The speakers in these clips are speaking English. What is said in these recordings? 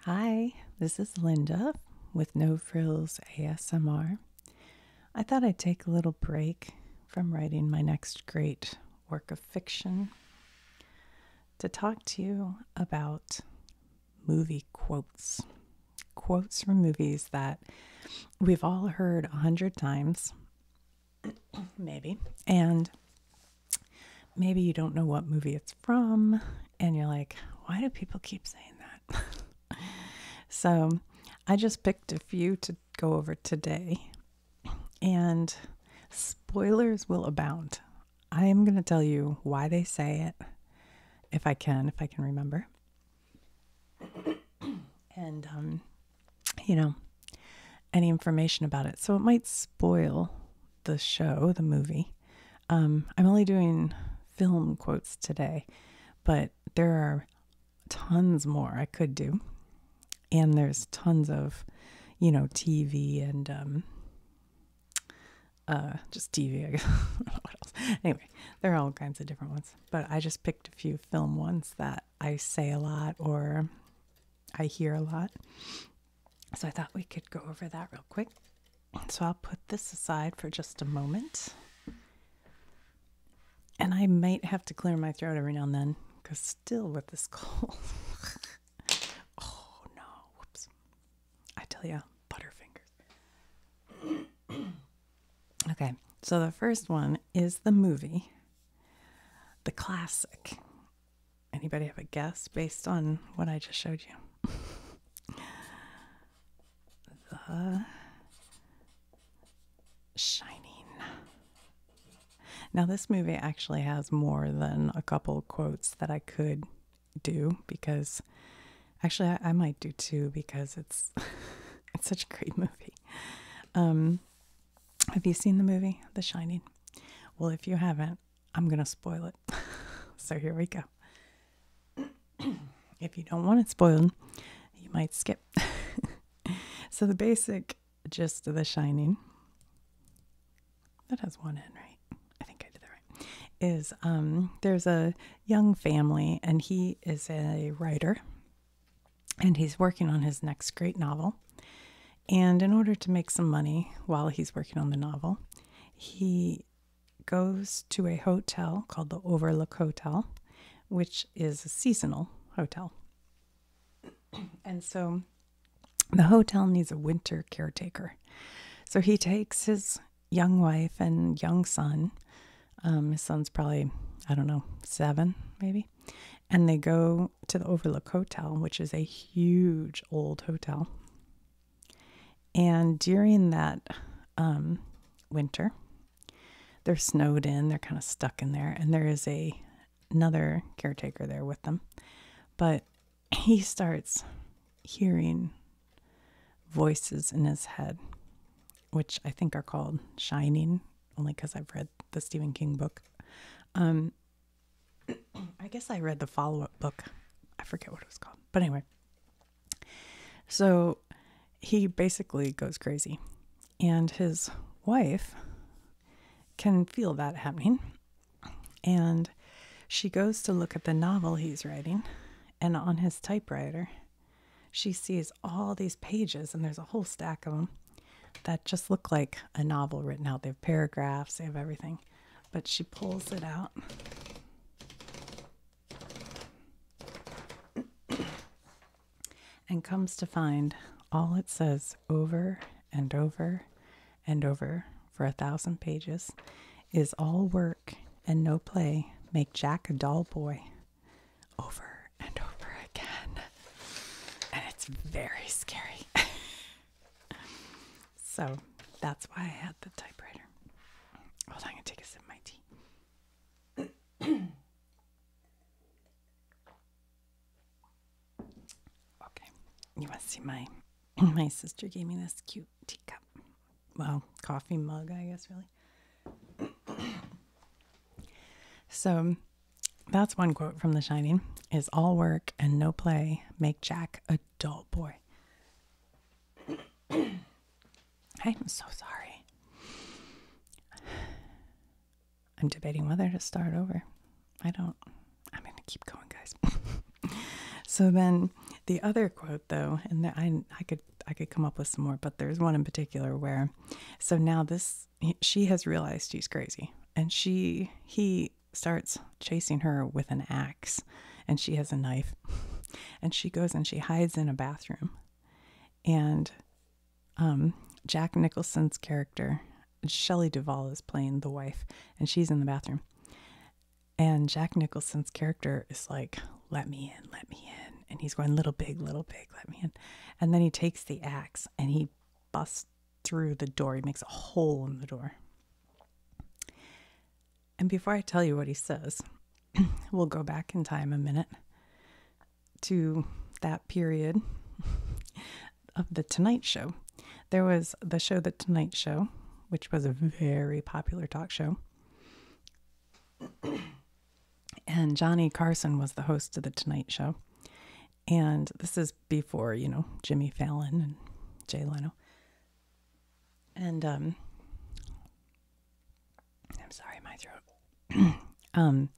Hi, this is Linda with No Frills ASMR. I thought I'd take a little break from writing my next great work of fiction to talk to you about movie quotes. Quotes from movies that we've all heard a hundred times, maybe, and maybe you don't know what movie it's from, and you're like, why do people keep saying that? so I just picked a few to go over today, and spoilers will abound. I am going to tell you why they say it, if I can, if I can remember. and, um, you know, any information about it. So it might spoil the show, the movie, um, I'm only doing film quotes today, but there are tons more I could do. And there's tons of, you know, TV and um, uh, just TV, I guess. what else? Anyway, there are all kinds of different ones, but I just picked a few film ones that I say a lot or I hear a lot. So I thought we could go over that real quick. So I'll put this aside for just a moment. And I might have to clear my throat every now and then because still with this cold. oh no, whoops. I tell you, butterfingers. okay, so the first one is the movie, the classic Anybody have a guess based on what I just showed you? the Shining. Now, this movie actually has more than a couple quotes that I could do because actually I, might do two because it's it's such a great movie. Um, have you seen the movie The Shining? Well, if you haven't, I'm going to spoil it so here we go. if you don't want it spoiled, you might skip. so the basic gist of The Shining, that has one end, right? I think I did that right. Is um, there's a young family, and he is a writer, and he's working on his next great novel. And in order to make some money while he's working on the novel, he goes to a hotel called the Overlook Hotel, which is a seasonal hotel. And so the hotel needs a winter caretaker. So he takes his young wife and young son. Um, his son's probably, I don't know, seven maybe. And they go to the Overlook Hotel, which is a huge old hotel. And during that um, winter, they're snowed in, they're kind of stuck in there, and there is a another caretaker there with them. But he starts hearing voices in his head, which I think are called shining, only because I've read the Stephen King book. Um, I guess I read the follow up book. I forget what it was called. But anyway, so he basically goes crazy. And his wife can feel that happening. And she goes to look at the novel he's writing. And on his typewriter, she sees all these pages, and there's a whole stack of them that just look like a novel written out. They have paragraphs, they have everything but she pulls it out. and comes to find all it says over and over and over for a thousand pages is all work and no play make Jack a dull boy over and over again. And it's very scary. so that's why I had the typewriter. Hold on, I'm gonna take a sip of my tea. okay, you want to see my my sister gave me this cute teacup. Well, coffee mug, I guess, really. so that's one quote from The Shining is all work and no play make Jack a dull boy. I'm so sorry. I'm debating whether to start over. I don't. I'm going to keep going, guys. so then the other quote though, and I I could I could come up with some more, but there's one in particular where so now this she has realized he's crazy and she he starts chasing her with an axe, and she has a knife. and she goes and she hides in a bathroom. And um, Jack Nicholson's character, Shelley Duvall, is playing the wife, and she's in the bathroom. And Jack Nicholson's character is like, let me in, let me in. And he's going, little big, little big, let me in. And then he takes the axe and he busts through the door. He makes a hole in the door. And before I tell you what he says, we'll go back in time a minute to that period of The Tonight Show. There was the show The Tonight Show, which was a very popular talk show. and Johnny Carson was the host of The Tonight Show. And this is before, you know, Jimmy Fallon and Jay Leno. And um, I'm sorry, my throat. um,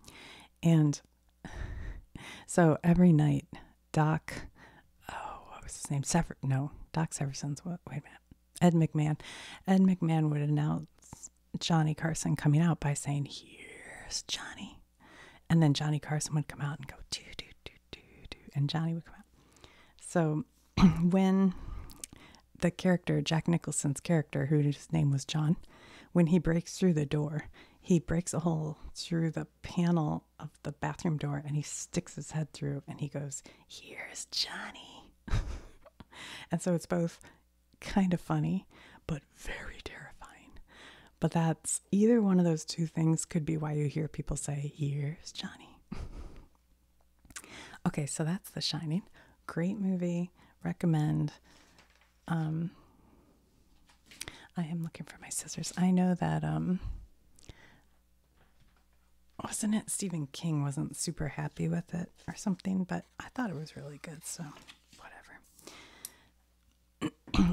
and so every night, Doc, oh, what was his name? Sever? No, Doc Severson's. What? Wait a minute. Ed McMahon. Ed McMahon would announce Johnny Carson coming out by saying, "Here's Johnny," and then Johnny Carson would come out and go, "Do do do and Johnny would come out. So when the character, Jack Nicholson's character, whose name was John, when he breaks through the door, he breaks a hole through the panel of the bathroom door and he sticks his head through and he goes, Here's Johnny. and so it's both kind of funny, but very terrifying. But that's either one of those two things could be why you hear people say, Here's Johnny. Okay, so that's The Shining. Great movie. Recommend. Um, I am looking for my scissors. I know that um, wasn't it Stephen King wasn't super happy with it or something, but I thought it was really good, so whatever.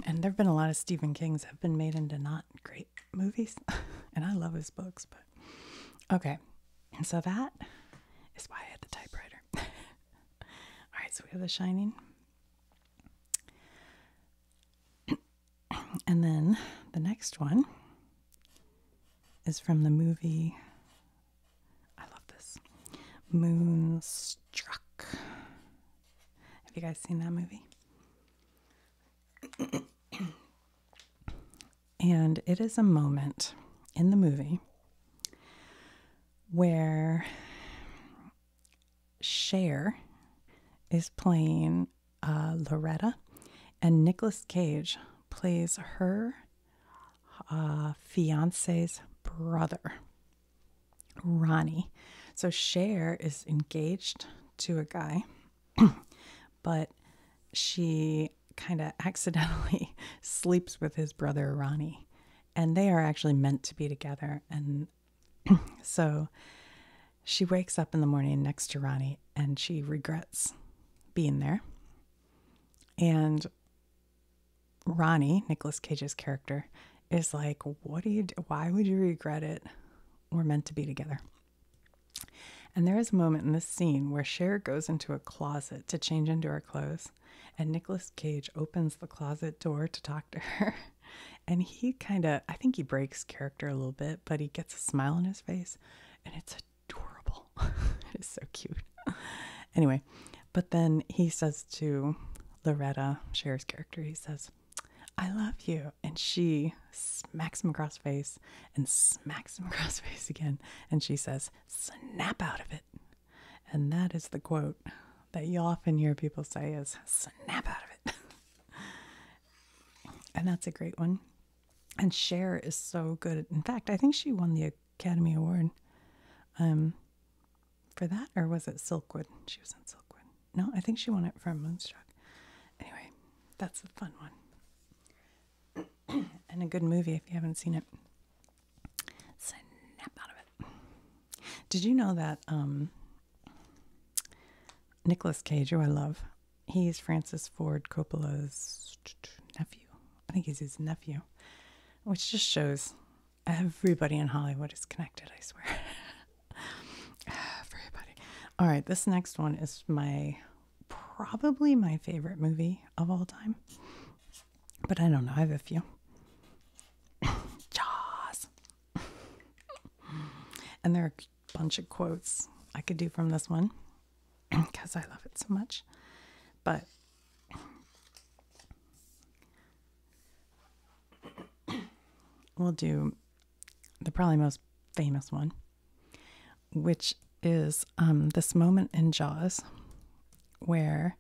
and there have been a lot of Stephen Kings have been made into not great movies. and I love his books, but okay. And so that is why I had the typewriter. All right, so we have The Shining. and then the next one is from the movie. I love this. Moonstruck. Have you guys seen that movie? and it is a moment in the movie where Cher is playing uh, Loretta, and Nicolas Cage plays her uh, fiance's brother, Ronnie. So Cher is engaged to a guy but she kind of accidentally sleeps with his brother Ronnie, and they are actually meant to be together. And so she wakes up in the morning next to Ronnie and she regrets being there. And Ronnie, Nicholas Cage's character, is like, What do you Why would you regret it? We're meant to be together. And there is a moment in this scene where Cher goes into a closet to change into her clothes, and Nicolas Cage opens the closet door to talk to her. and he kind of, I think he breaks character a little bit, but he gets a smile on his face, and it's adorable. it is so cute. anyway, but then he says to Loretta, Cher's character, he says, I love you. And she smacks him across the face and smacks him across the face again. And she says, snap out of it. And that is the quote that you often hear people say is snap out of it. and that's a great one. And Cher is so good. In fact, I think she won the Academy Award um, for that, or was it Silkwood? She was in Silkwood. No, I think she won it for Moonstruck. Anyway, that's a fun one. and a good movie if you haven't seen it. Snap out of it. Did you know that um, Nicholas Cage, who I love, he's Francis Ford Coppola's nephew. I think he's his nephew, which just shows everybody in Hollywood is connected, I swear. everybody. All right, this next one is my probably my favorite movie of all time. But I don't know, I have a few. Jaws. and there are a bunch of quotes I could do from this one because I love it so much. But we'll do the probably most famous one which is um, this moment in Jaws where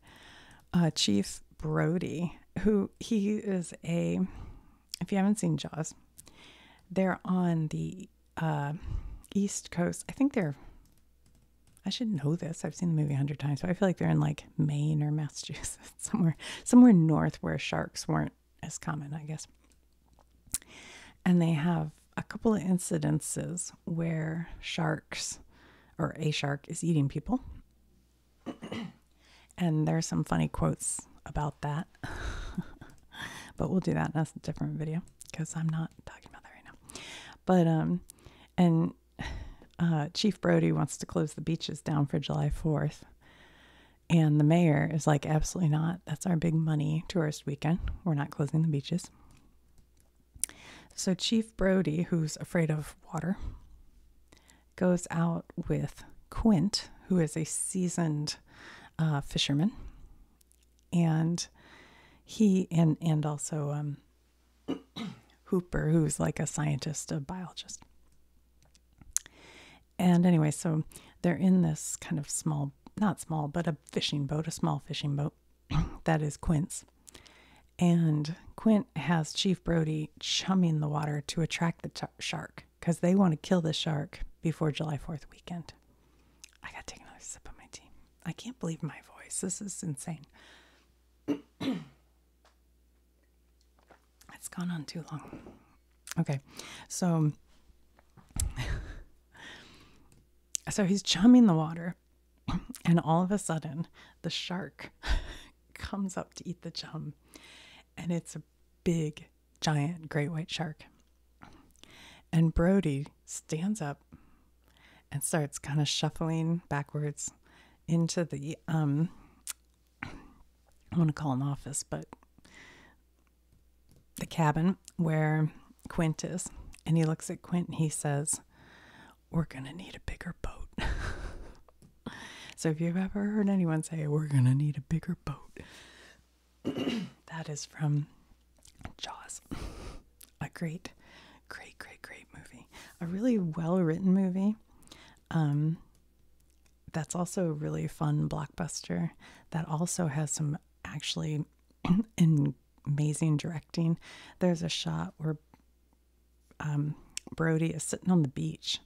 uh, Chief Brody, who he is a, if you haven't seen Jaws, they're on the uh, East Coast. I think they're, I should know this. I've seen the movie a hundred times, but I feel like they're in like Maine or Massachusetts, somewhere, somewhere north where sharks weren't are as common, I guess. And they have a couple of incidences where sharks or a shark is eating people. and there's some funny quotes about that. but we'll do that in a different video because I'm not talking about that right now. But, um, and uh, Chief Brody wants to close the beaches down for July 4th. And the mayor is like, absolutely not. That's our big money tourist weekend. We're not closing the beaches. So Chief Brody, who's afraid of water, goes out with Quint, who is a seasoned uh, fisherman, and he and and also um, Hooper, who's like a scientist, a biologist, and anyway, so they're in this kind of small, not small, but a fishing boat, a small fishing boat that is Quint's. And Quint has Chief Brody chumming the water to attract the shark because they want to kill the shark before July 4th weekend. I got to take another sip of my tea. I can't believe my voice. This is insane. it's gone on too long. Okay, so so he's chumming the water, and all of a sudden the shark comes up to eat the chum, and it's a big, giant great white shark. And Brody stands up and starts kind of shuffling backwards into the um I want to call an office, but the cabin where Quint is. And he looks at Quint he says, We're going to need a bigger boat. so if you've ever heard anyone say, We're going to need a bigger boat, that is from Jaws. a great, great, great, great movie. A really well written movie. Um, that's also a really fun blockbuster that also has some actually in amazing directing. There's a shot where um, Brody is sitting on the beach,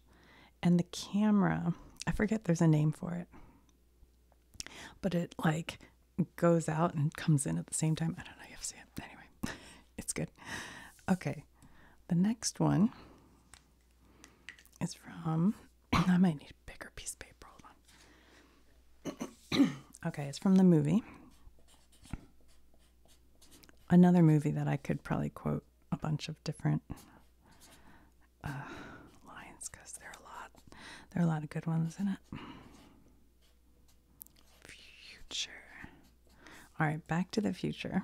and the camera I forget there's a name for it, but it like goes out and comes in at the same time. I don't know, you have seen it. Anyway, it's good. Okay, the next one is from I might need a bigger piece of paper. okay, it's from the movie. Another movie that I could probably quote a bunch of different uh, lines because there are a lot. There are a lot of good ones in it. Future. All right, back to the future.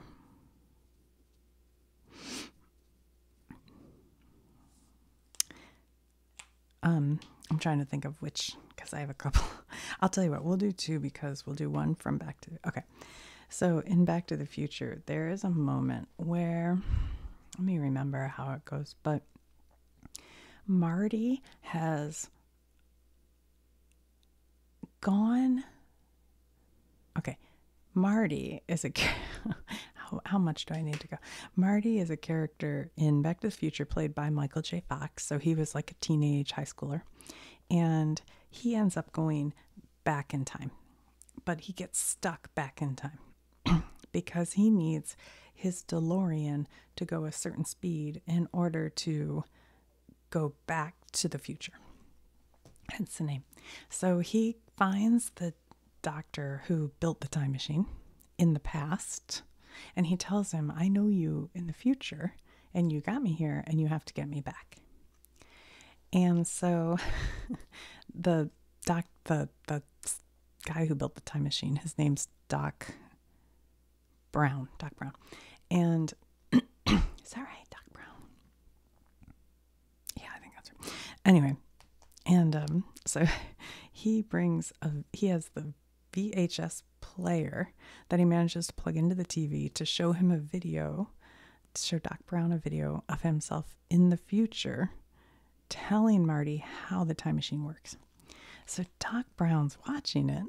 Um, I'm trying to think of which because I have a couple. I'll tell you what, we'll do two because we'll do one from Back to Okay. So in Back to the Future, there is a moment where let me remember how it goes, but Marty has gone okay, Marty is a how, much do I need to go? Marty is a character in Back to the Future played by Michael J. Fox. So he was like a teenage high schooler, and he ends up going back in time, but he gets stuck back in time because he needs his DeLorean to go a certain speed in order to go back to the future. Hence the name. So he finds the doctor who built the time machine in the past. And he tells him, I know you in the future, and you got me here, and you have to get me back. And so the doc, the, the guy who built the time machine, his name's Doc Brown, Doc Brown. And is that right, Doc Brown? Yeah, I think that's her. Anyway, and um, so he brings a he has the VHS player that he manages to plug into the TV to show him a video, to show Doc Brown a video of himself in the future, telling Marty how the time machine works. So Doc Brown's watching it,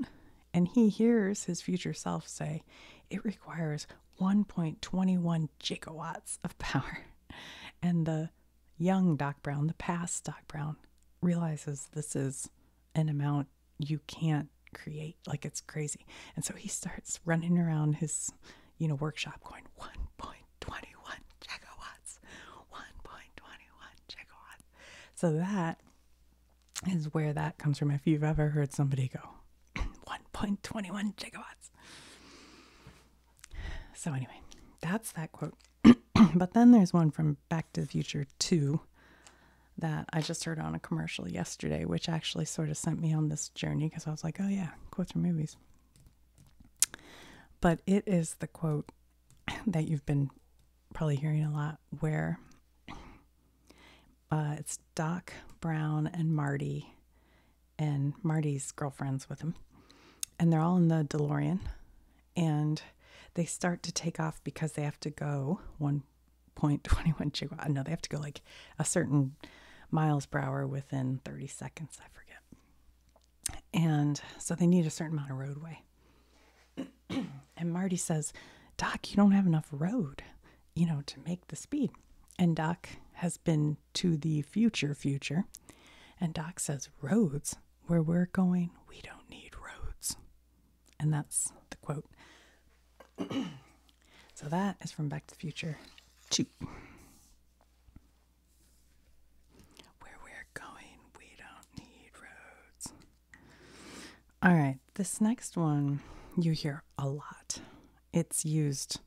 and he hears his future self say, "It requires 1.21 gigawatts of power," and the young Doc Brown, the past Doc Brown, realizes this is an amount you can't create. Like it's crazy. And so he starts running around his, you know, workshop going 1.21 gigawatts, 1.21 gigawatts. So that is where that comes from. If you've ever heard somebody go 1.21 gigawatts. So, anyway, that's that quote. but then there's one from Back to the Future 2 that I just heard on a commercial yesterday, which actually sort of sent me on this journey because I was like, oh, yeah, quotes from movies. But it is the quote that you've been probably hearing a lot where uh, it's Doc Brown and Marty and Marty's girlfriend's with him. And they're all in the DeLorean and they start to take off because they have to go 1.21 chihuahua. No, they have to go like a certain miles per hour within 30 seconds. I forget. And so they need a certain amount of roadway. and Marty says, Doc, you don't have enough road, you know, to make the speed. And Doc has been to the future future. And Doc says, Roads? Where we're going, we don't need roads. And that's the quote. so that is from Back to the Future 2. Where we're going, we don't need roads. All right, this next one you hear a lot. It's used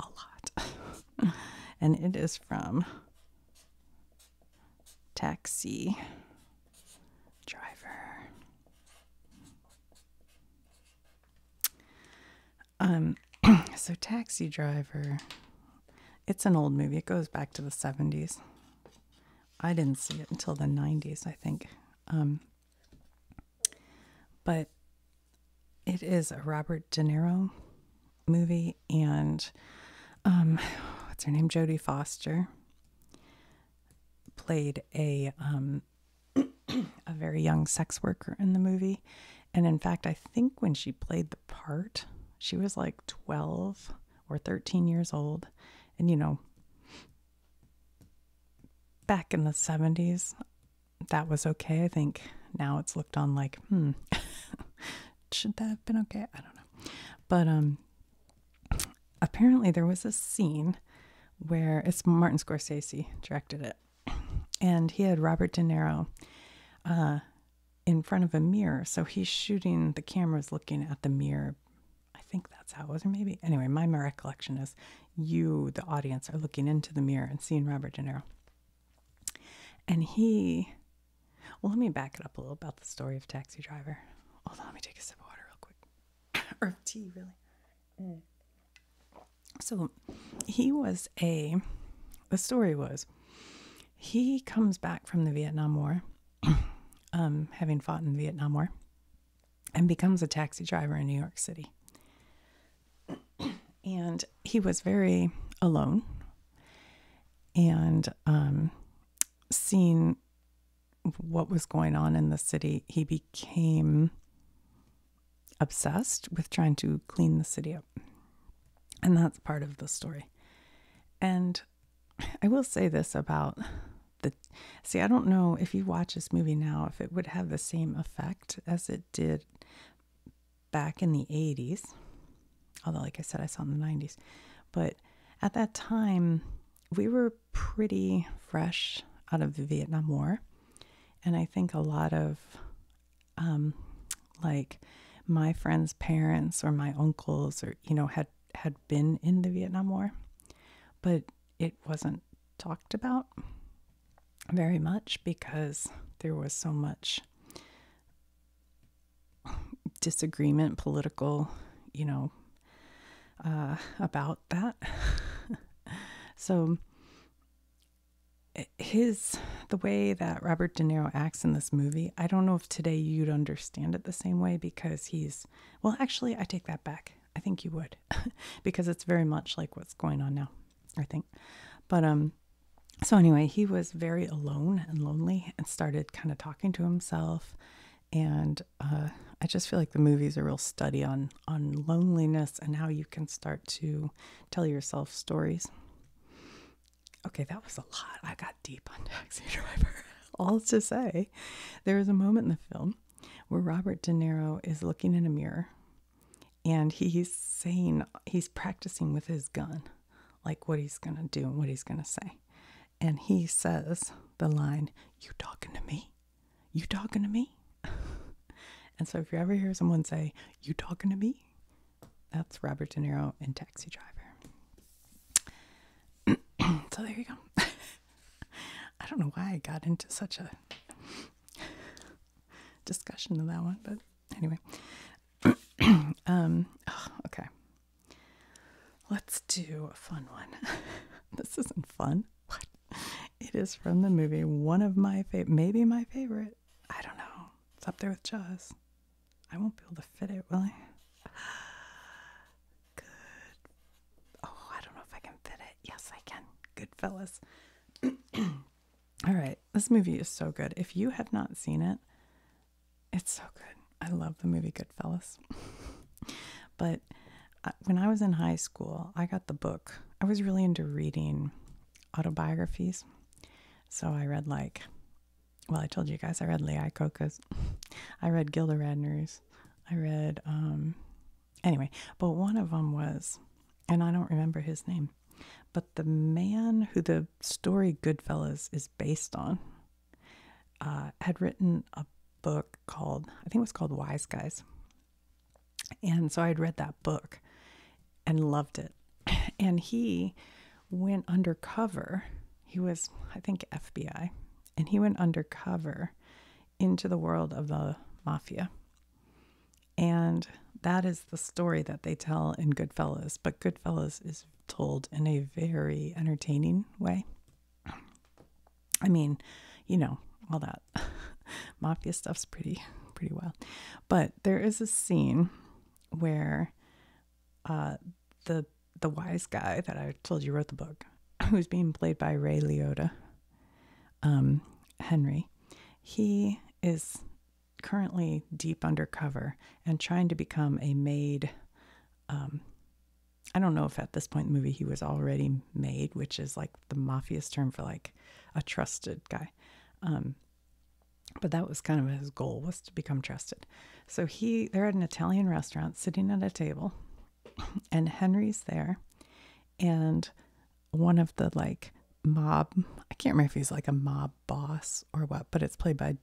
a lot. and it is from Taxi Driver. Um, so Taxi Driver, it's an old movie. It goes back to the 70s. I didn't see it until the 90s, I think. Um, but it is a Robert De Niro movie, and um, what's her name? Jodie Foster played a um, a very young sex worker in the movie, and in fact, I think when she played the part, she was like twelve or thirteen years old, and you know, back in the seventies, that was okay. I think now it's looked on like, hmm, Should that have been okay? I don't know. But um, apparently there was a scene where it's Martin Scorsese directed it, and he had Robert De Niro uh, in front of a mirror. So he's shooting, the camera's looking at the mirror. I think that's how it was, or maybe. Anyway, my recollection is you, the audience, are looking into the mirror and seeing Robert De Niro. And he, well, let me back it up a little about the story of Taxi Driver. Hold on, let me take a sip of water real quick. or tea, really. Mm. So he was a, the story was, he comes back from the Vietnam War, um, having fought in the Vietnam War, and becomes a taxi driver in New York City. and he was very alone and um, seeing what was going on in the city he became obsessed with trying to clean the city up and that's part of the story and i will say this about the see i don't know if you watch this movie now if it would have the same effect as it did back in the 80s, although, like I said, I saw in the 90s, but at that time, we were pretty fresh out of the Vietnam War. And I think a lot of, um, like, my friends' parents or my uncles or, you know, had, had been in the Vietnam War, but it wasn't talked about very much because there was so much disagreement, political, you know, uh, about that. so his the way that Robert De Niro acts in this movie, I don't know if today you'd understand it the same way because he's well, actually, I take that back. I think you would because it's very much like what's going on now, I think. But um so anyway, he was very alone and lonely and started kind of talking to himself. And uh, I just feel like the movie's a real study on on loneliness and how you can start to tell yourself stories. Okay, that was a lot. I got deep on Taxi Driver. All to say, there is a moment in the film where Robert De Niro is looking in a mirror and he's saying he's practicing with his gun like what he's going to do and what he's going to say. And he says the line, You talking to me? You talking to me? and so if you ever hear someone say, You talking to me? That's Robert De Niro in Taxi Driver. so there you go. I don't know why I got into such a discussion of that one, but Anyway, um, okay. Let's do a fun one. this isn't fun. What? It is from the movie, one of my favorite, maybe my favorite. I don't know. It's up there with Jaws. I won't be able to fit it, will I? Good. Oh, I don't know if I can fit it. Yes, I can. Good fellas. All right this movie is so good. If you have not seen it, it's so good. I love the movie Goodfellas. but uh, when I was in high school, I got the book. I was really into reading autobiographies. So I read like well, I told you guys I read Lee Iacocca's. I read Gilda Radner's. I read um anyway, but one of them was and I don't remember his name. But the man who the story Goodfellas is based on uh, had written a book called, I think it was called Wise Guys. And so I would read that book and loved it. And he went undercover. He was, I think, FBI. And he went undercover into the world of the mafia. And that is the story that they tell in Goodfellas, but Goodfellas is told in a very entertaining way. I mean, you know, all that mafia stuff's pretty pretty well. But there is a scene where uh, the the wise guy that I told you wrote the book, who's being played by Ray Liotta, um, Henry, he is currently deep undercover and trying to become a made. Um, I don't know if at this point in the movie he was already made, which is like the mafia's term for like a trusted guy. Um, but that was kind of his goal was to become trusted. So he they're at an Italian restaurant sitting at a table and Henry's there and one of the like mob I can't remember if he's like a mob boss or what, but it's played by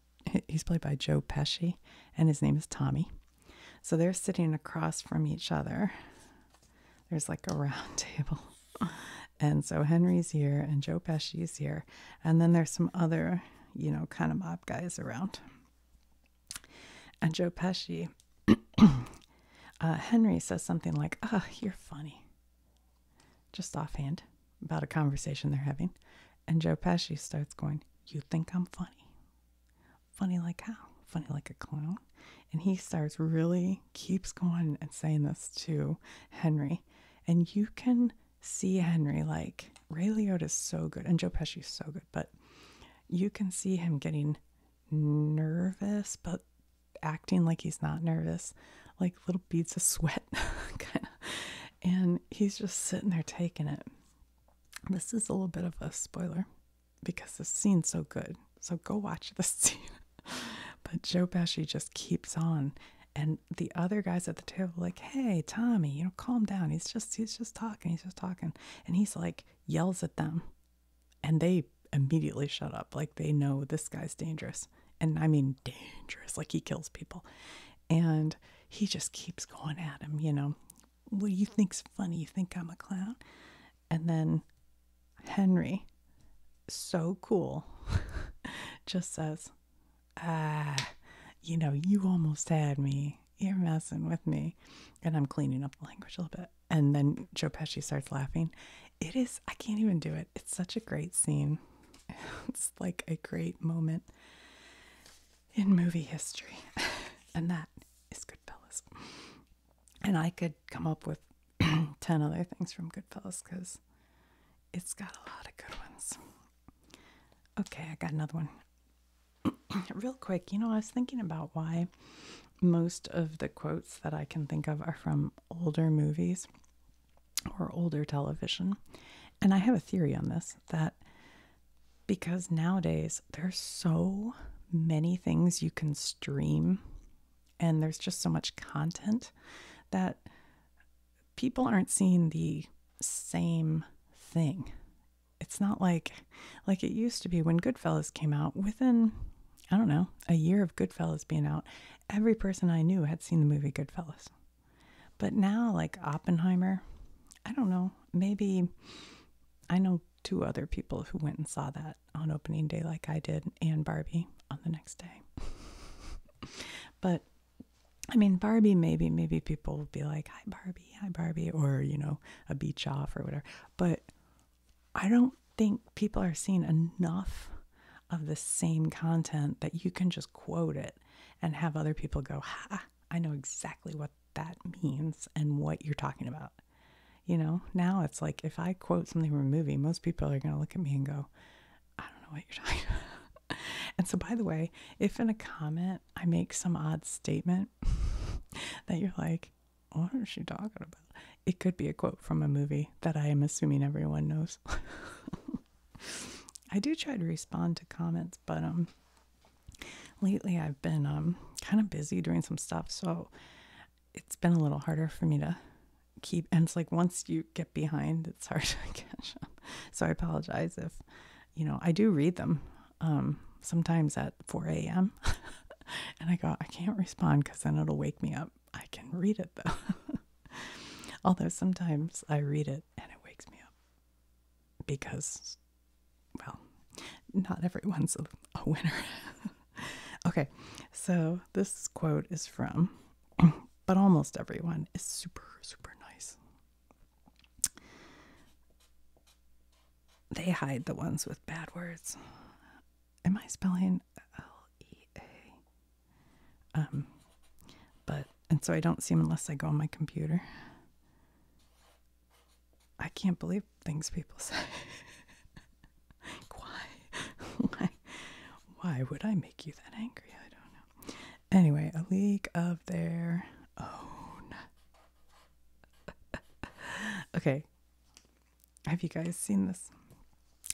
he's played by Joe Pesci and his name is Tommy. So they're sitting across from each other. There's like a round table. And so Henry's here and Joe Pesci's here. And then there's some other, you know, kind of mob guys around. And Joe Pesci, uh, Henry says something like, Ah, you're funny just offhand about a conversation they're having. And Joe Pesci starts going, You think I'm funny? Funny like how? Funny like a clown? And he starts really keeps going and saying this to Henry. And you can see Henry like Ray Liotta is so good and Joe Pesci is so good, but you can see him getting nervous, but acting like he's not nervous. Like little beads of sweat, kind of. And he's just sitting there taking it. This is a little bit of a spoiler because this scene's so good. So go watch this scene. but Joe Pesci just keeps on. And the other guys at the table like, hey, Tommy, you know, calm down. He's just he's just talking, he's just talking. And he's like yells at them. And they immediately shut up. Like they know this guy's dangerous and I mean dangerous, like he kills people. And he just keeps going at him, you know. What do you think's funny? You think I'm a clown? And then Henry, so cool, just says, Ah, you know, you almost had me. You're messing with me. And I'm cleaning up the language a little bit. And then Joe Pesci starts laughing. It is, I can't even do it. It's such a great scene. It's like a great moment in movie history. and that is Goodfellas. And I could come up with 10 other things from Goodfellas because it's got a lot of good ones. Okay, I got another one. Real quick, you know, I was thinking about why most of the quotes that I can think of are from older movies or older television. And I have a theory on this that because nowadays there's so many things you can stream and there's just so much content that people aren't seeing the same thing. It's not like like it used to be when Goodfellas came out within I don't know, a year of Goodfellas being out, every person I knew had seen the movie Goodfellas. But now, like Oppenheimer, I don't know, maybe I know two other people who went and saw that on opening day, like I did, and Barbie on the next day. but I mean, Barbie, maybe, maybe people will be like, hi, Barbie, hi, Barbie, or, you know, a beach off or whatever. But I don't think people are seeing enough of the same content that you can just quote it and have other people go, ha, I know exactly what that means and what you're talking about. You know, now it's like if I quote something from a movie, most people are going to look at me and go, I don't know what you're talking about. and so, by the way, if in a comment I make some odd statement that you're like, what is she talking about? It could be a quote from a movie that I am assuming everyone knows. I do try to respond to comments, but um lately I've been um kind of busy doing some stuff, so it's been a little harder for me to keep and it's like once you get behind it's hard to catch up. So I apologize if you know, I do read them. Um sometimes at 4 a.m. and I go, I can't respond because then it'll wake me up. I can read it though. Although sometimes I read it and it wakes me up because, well, not everyone's a winner. okay, so this quote is from, but almost everyone is super, super nice. They hide the ones with bad words. Am I spelling L E A um, but and so I don't see him unless I go on my computer. I can't believe things people say. why, why, why would I make you that angry? I don't know. Anyway, a league of their own. okay, have you guys seen this?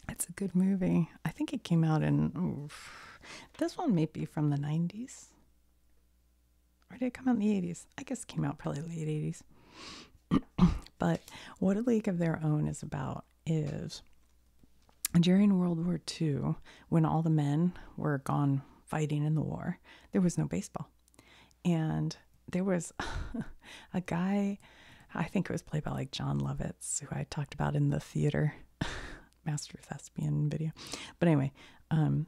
It's a good movie. I think it came out in this one may be from the 90s. Or did it come out in the 80s? I guess came out probably late 80s. but what a league of their own is about is during World War II, when all the men were gone fighting in the war, there was no baseball. And there was a guy, I think it was played by like John Lovitz, who I talked about in the theater master thespian video. But anyway, um,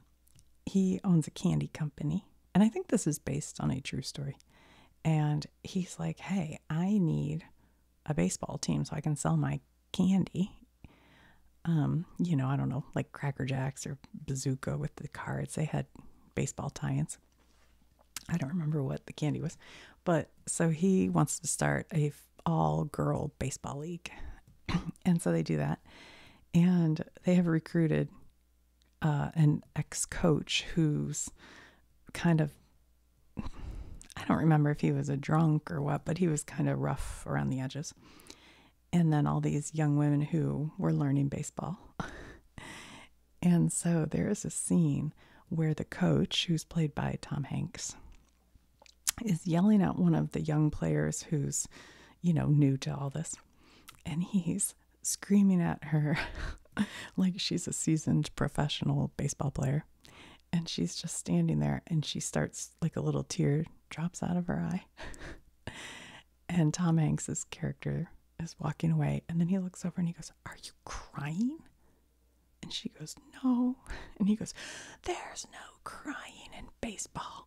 he owns a candy company, and I think this is based on a true story. And he's like, "Hey, I need a baseball team so I can sell my candy." Um, you know, I don't know, like Cracker Jacks or Bazooka with the cards. They had baseball tie-ins. I don't remember what the candy was, but so he wants to start a all girl baseball league. and so they do that. And they have recruited uh, an ex coach who's kind of, I don't remember if he was a drunk or what, but he was kind of rough around the edges. And then all these young women who were learning baseball. and so there is a scene where the coach, who's played by Tom Hanks, is yelling at one of the young players who's, you know, new to all this. And he's screaming at her like she's a seasoned professional baseball player. And she's just standing there and she starts like a little tear drops out of her eye. and Tom Hanks's character is walking away and then he looks over and he goes, "Are you crying?" And she goes, No. And he goes, There's no crying in baseball.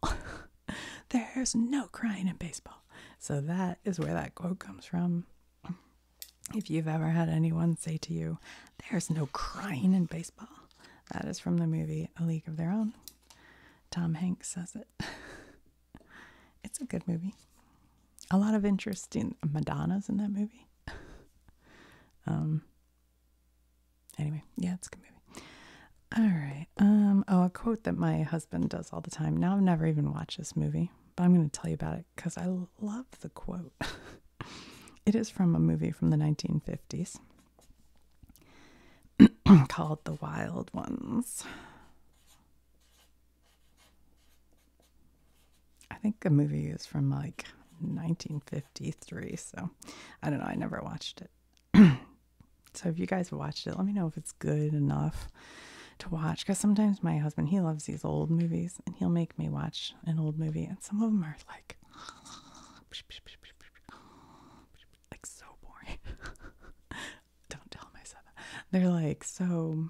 There's no crying in baseball. So that is where that quote comes from. If you've ever had anyone say to you, There's no crying in baseball, that is from the movie A League of Their Own. Tom Hanks says it. it's a good movie. A lot of interesting Madonna's in that movie. um, Anyway, yeah, it's good movie. All right. Um, oh, a quote that my husband does all the time. Now I've never even watched this movie, but I'm going to tell you about it because I love the quote. it is from a movie from the 1950s called The Wild Ones. I think the movie is from like 1953, so I don't know. I never watched it. so if you guys have watched it, let me know if it's good enough to watch. Because sometimes my husband, he loves these old movies and he'll make me watch an old movie. And some of them are like, like so boring. don't tell myself that. They're like so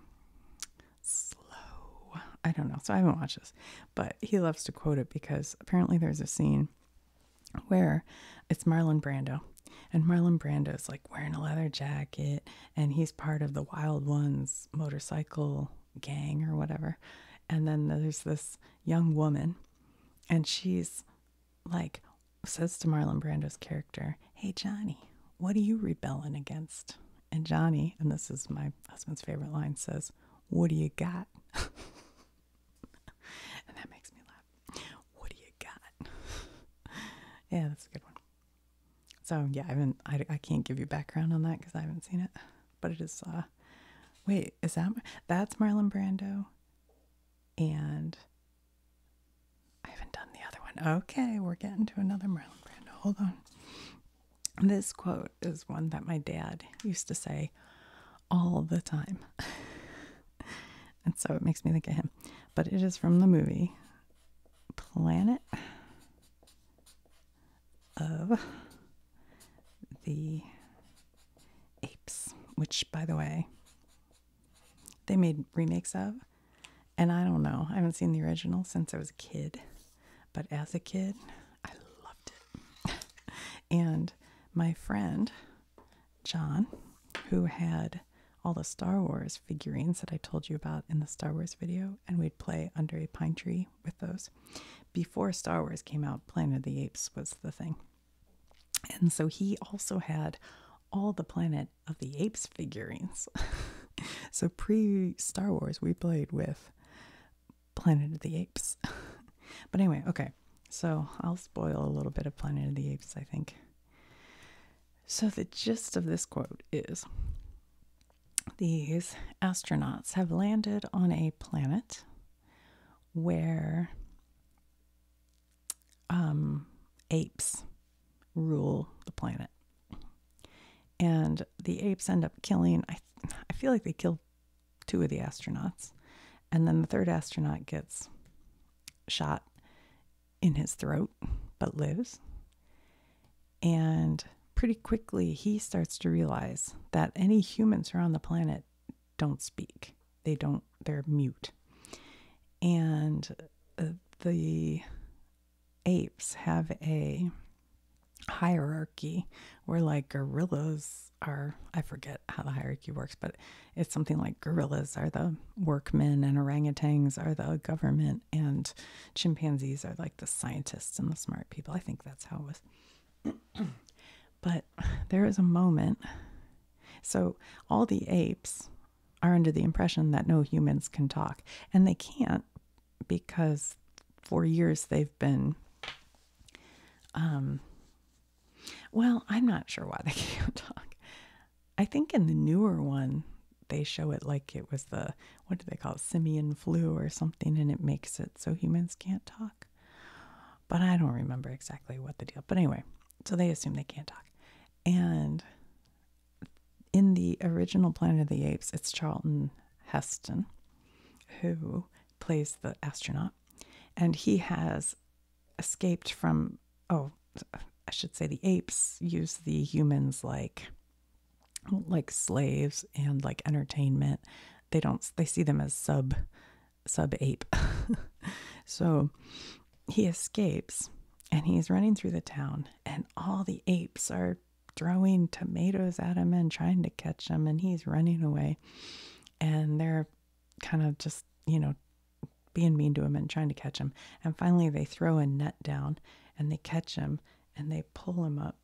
slow. I don't know. So I haven't watched this but he loves to quote it because apparently there's a scene where it's Marlon Brando. And Marlon Brando is like wearing a leather jacket and he's part of the Wild Ones motorcycle gang or whatever. And then there's this young woman and she's like, says to Marlon Brando's character, Hey, Johnny, what are you rebelling against? And Johnny, and this is my husband's favorite line, says, what do you got? and that makes me laugh. What do you got? yeah, that's a good one. So yeah, I have I, I can't give you background on that because I haven't seen it. But it is. Uh, wait, is that that's Marlon Brando? And I haven't done the other one. Okay, we're getting to another Marlon Brando. Hold on. This quote is one that my dad used to say all the time. and so it makes me think of him. But it is from the movie Planet of the Apes, which, by the way, they made remakes of. And I don't know, I haven't seen the original since I was a kid. But as a kid, I loved it. and my friend John, who had all the Star Wars figurines that I told you about in the Star Wars video, and we'd play under a pine tree with those. Before Star Wars came out, Planet of the Apes was the thing. And so he also had all the Planet of the Apes figurines. so pre Star Wars, we played with Planet of the Apes. but anyway, okay. So I'll spoil a little bit of Planet of the Apes, I think. So the gist of this quote is these astronauts have landed on a planet where um, apes rule the planet. And the apes end up killing, I, I feel like they kill two of the astronauts. And then the third astronaut gets shot in his throat, but lives. And pretty quickly, he starts to realize that any humans around the planet don't speak. They don't, they're mute. And uh, the apes have a hierarchy where like gorillas are i forget how the hierarchy works but it's something like gorillas are the workmen and orangutans are the government and chimpanzees are like the scientists and the smart people i think that's how it was but there is a moment so all the apes are under the impression that no humans can talk and they can't because for years they've been um, well, I'm not sure why they can't talk. I think in the newer one, they show it like it was the, what do they call it, simian flu or something, and it makes it so humans can't talk. But I don't remember exactly what the deal. But anyway, so they assume they can't talk. And in the original Planet of the Apes, it's Charlton Heston who plays the astronaut, and he has escaped from, oh, I should say the apes use the humans like like slaves and like entertainment. They don't they see them as sub sub ape. so he escapes and he's running through the town and all the apes are throwing tomatoes at him and trying to catch him and he's running away and they're kind of just, you know, being mean to him and trying to catch him. And finally, they throw a net down and they catch him and they pull him up.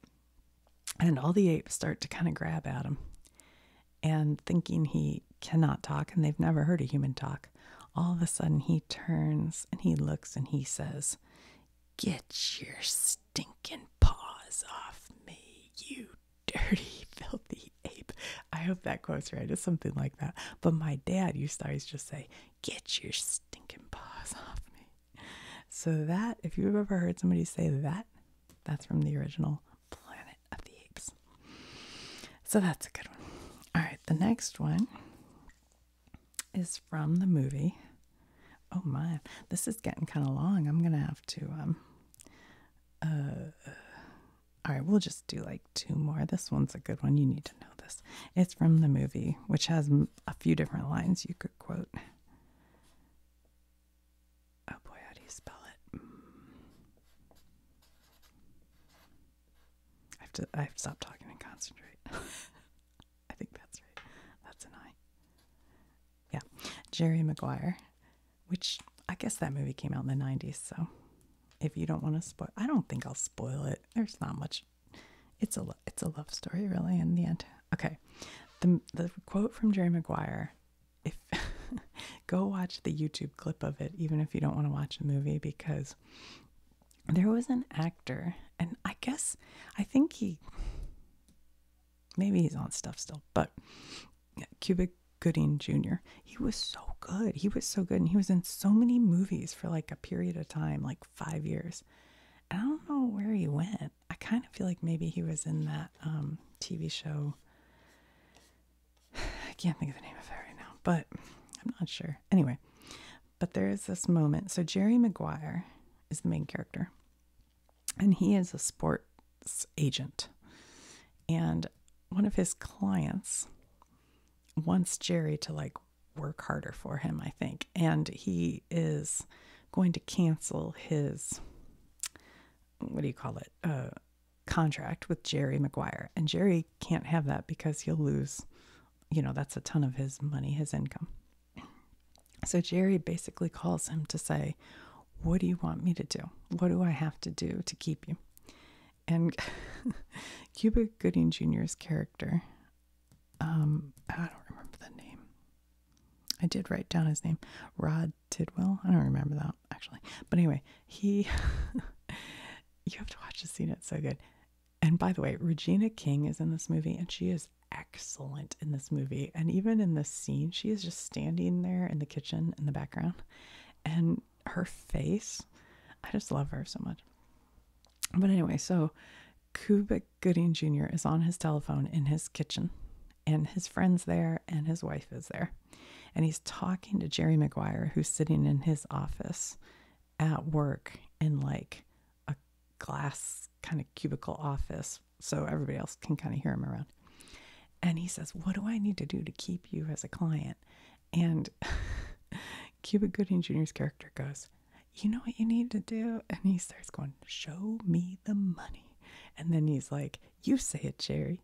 And all the apes start to kind of grab at him. And thinking he cannot talk and they've never heard a human talk, all of a sudden he turns and he looks and he says, Get your stinking paws off me, you dirty, filthy ape. I hope that quote's right. It's something like that. But my dad used to always just say, Get your stinking paws off me. So, that, if you've ever heard somebody say that, that's from the original Planet of the Apes. So, that's a good one. All right, the next one is from the movie. Oh my, this is getting kind of long. I'm going to have to um uh, all right, we'll just do like two more. This one's a good one. You need to know this. It's from the movie, which has a few different lines you could quote. Oh boy, how do you spell it? Mm. I have to. I have to stop talking and concentrate. I think that's right. That's an I. Yeah, Jerry Maguire which I guess that movie came out in the 90s. So if you don't want to spoil, I don't think I'll spoil it. There's not much. It's a lo- it's a love story, really, in the end. Okay, the the quote from Jerry Maguire. If go watch the YouTube clip of it, even if you don't want to watch the movie, because there was an actor, and I guess I think he maybe he's on stuff still, but Cubic Gooding Jr. He was so good. He was so good. And he was in so many movies for like a period of time, like five years. I don't know where he went. I kind of feel like maybe he was in that um, TV show. I can't think of the name of it right now, but I'm not sure. Anyway, but there is this moment. So Jerry Maguire is the main character and he is a sports agent. And one of his clients wants Jerry to like work harder for him, I think. And he is going to cancel his, what do you call it, uh, contract with Jerry McGuire. And Jerry can't have that because he'll lose, you know, that's a ton of his money, his income. So Jerry basically calls him to say, what do you want me to do? What do I have to do to keep you? And Cuba Gooding Jr.'s character, um, I don't remember the name. I did write down his name, Rod Tidwell. I don't remember that actually. But anyway, he, you have to watch the scene, it's so good. And by the way, Regina King is in this movie and she is excellent in this movie. And even in this scene, she is just standing there in the kitchen in the background. And her face, I just love her so much. But anyway, so Cubic Gooding Jr. is on his telephone in his kitchen, and his friend's there, and his wife is there. And he's talking to Jerry Maguire, who's sitting in his office at work in like a glass kind of cubicle office so everybody else can kind of hear him around. And he says, What do I need to do to keep you as a client? And Cuba Gooding Jr.'s character goes, You know what you need to do? And he starts going, Show me the money. And then he's like, You say it, Jerry.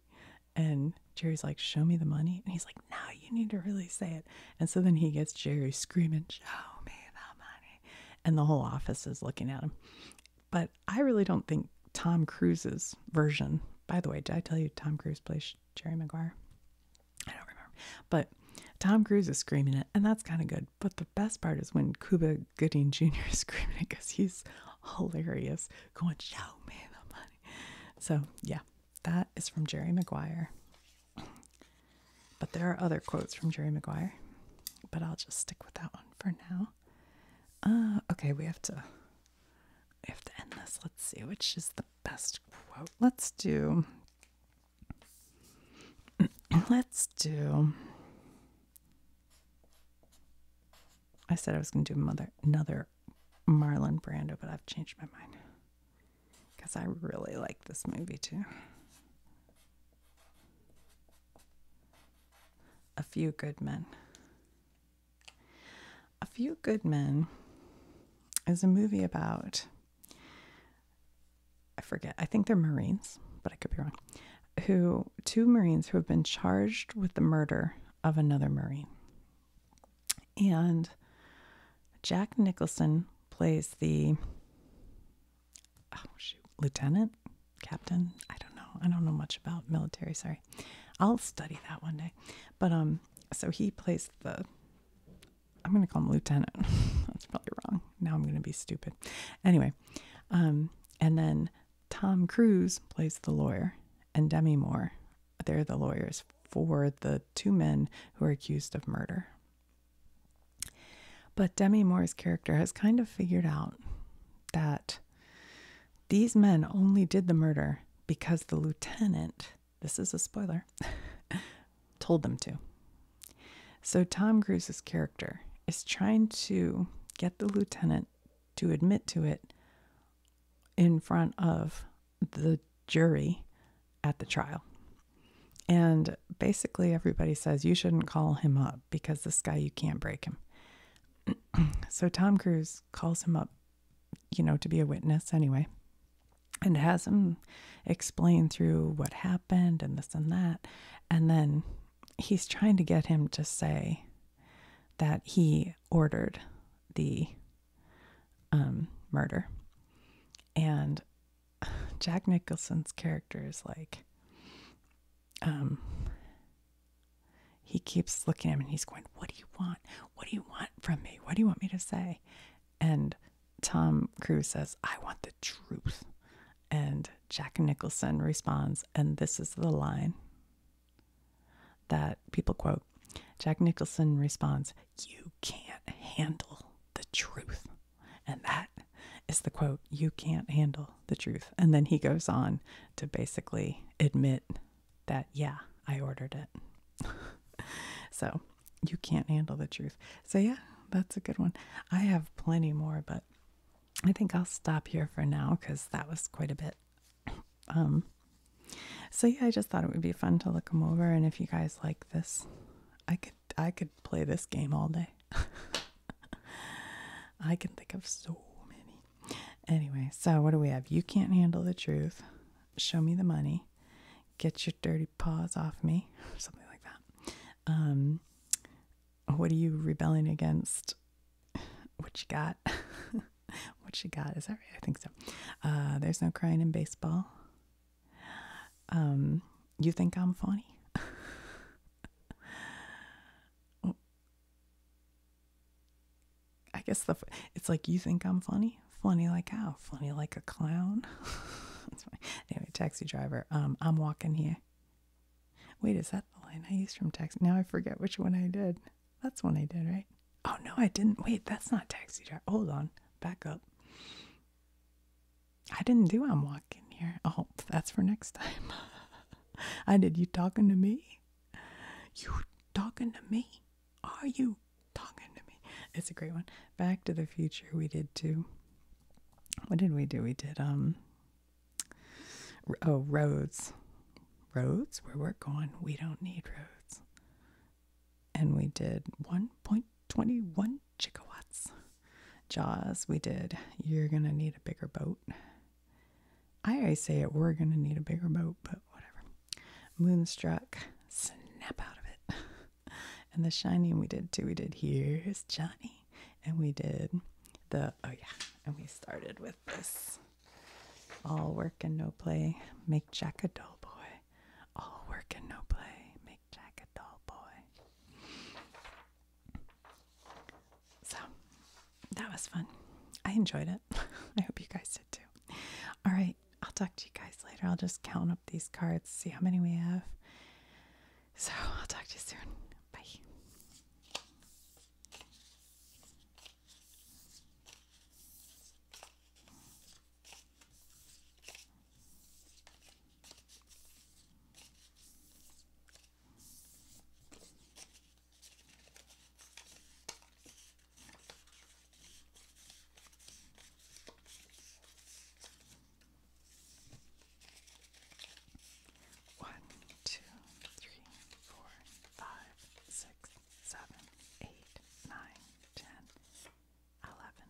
And Jerry's like, Show me the money. And he's like, No, you need to really say it. And so then he gets Jerry screaming, Show me the money. And the whole office is looking at him. But I really don't think Tom Cruise's version, by the way, did I tell you Tom Cruise plays Jerry Maguire? I don't remember. But Tom Cruise is screaming it, and that's kind of good. But the best part is when Cuba Gooding Jr. is screaming it because he's hilarious, going, Show me the money. So, yeah, that is from Jerry Maguire. But there are other quotes from Jerry Maguire, but I'll just stick with that one for now. Uh, okay, we have to we have to end this. Let's see which is the best quote. Let's do. Let's do. I said I was going to do mother, another Marlon Brando, but I've changed my mind because I really like this movie too. A Few Good Men. A Few Good Men is a movie about, I forget, I think they're Marines, but I could be wrong, who, two Marines who have been charged with the murder of another Marine. And Jack Nicholson plays the, oh, lieutenant? captain. I don't know. I don't know much about military. Sorry, I'll study that one day. But um, so he plays the. I'm gonna call him lieutenant. That's probably wrong. Now I'm gonna be stupid. Anyway, um, and then Tom Cruise plays the lawyer, and Demi Moore. They're the lawyers for the two men who are accused of murder. But Demi Moore's character has kind of figured out that these men only did the murder because the lieutenant, this is a spoiler, told them to. So Tom Cruise's character is trying to get the lieutenant to admit to it in front of the jury at the trial. And basically, everybody says you shouldn't call him up because this guy, you can't break him. so Tom Cruise calls him up, you know, to be a witness anyway, and has him explain through what happened and this and that. And then he's trying to get him to say that he ordered the um, murder. And Jack Nicholson's character is like, um, he keeps looking at him and he's going, What do you want? What do you want from me? What do you want me to say? And Tom Cruise says, I want the truth. And Jack Nicholson responds, and this is the line that people quote Jack Nicholson responds, You can't handle the truth. And that is the quote, You can't handle the truth. And then he goes on to basically admit that, yeah, I ordered it. so you can't handle the truth. So, yeah, that's a good one. I have plenty more, but I think I'll stop here for now because that was quite a bit. Um, so yeah, I just thought it would be fun to look them over, and if you guys like this, I could I could play this game all day. I can think of so many. Anyway, so what do we have? You can't handle the truth. Show me the money. Get your dirty paws off me. Something like that. Um, what are you rebelling against? What you got? what you got? Is that right? I think so. Uh, there's no crying in baseball. Um, you think I'm funny? I guess the it's like you think I'm funny, funny like how, funny like a clown. Anyway, taxi driver. Um, I'm walking here. Wait, is that the line I used from taxi? Now I forget which one I did. That's one I did, right? Oh no, I didn't. Wait, that's not taxi driver. Hold on, back up. I didn't do I'm walking here. Oh, that's for next time. I did you talking to me? You talking to me? Are you talking to me? It's a great one. Back to the Future, we did too. What did we do? We did, um, oh, roads. Roads, where we're going, we don't need roads. And we did 1.21 gigawatts. Jaws, we did, you're gonna need a bigger boat. I always say it, we're going to need a bigger boat, but whatever. Moonstruck, snap out of it. and the Shining we did too. We did Here's Johnny. And we did the, oh yeah, and we started with this. All work and no play, make Jack a doll boy. All work and no play, make Jack a doll boy. So that was fun. I enjoyed it. I hope you guys did too. All right. I'll talk to you guys later. I'll just count up these cards, see how many we have. So I'll talk to you soon. Bye. One, two, three, four, five, six, seven, eight, nine, ten, eleven.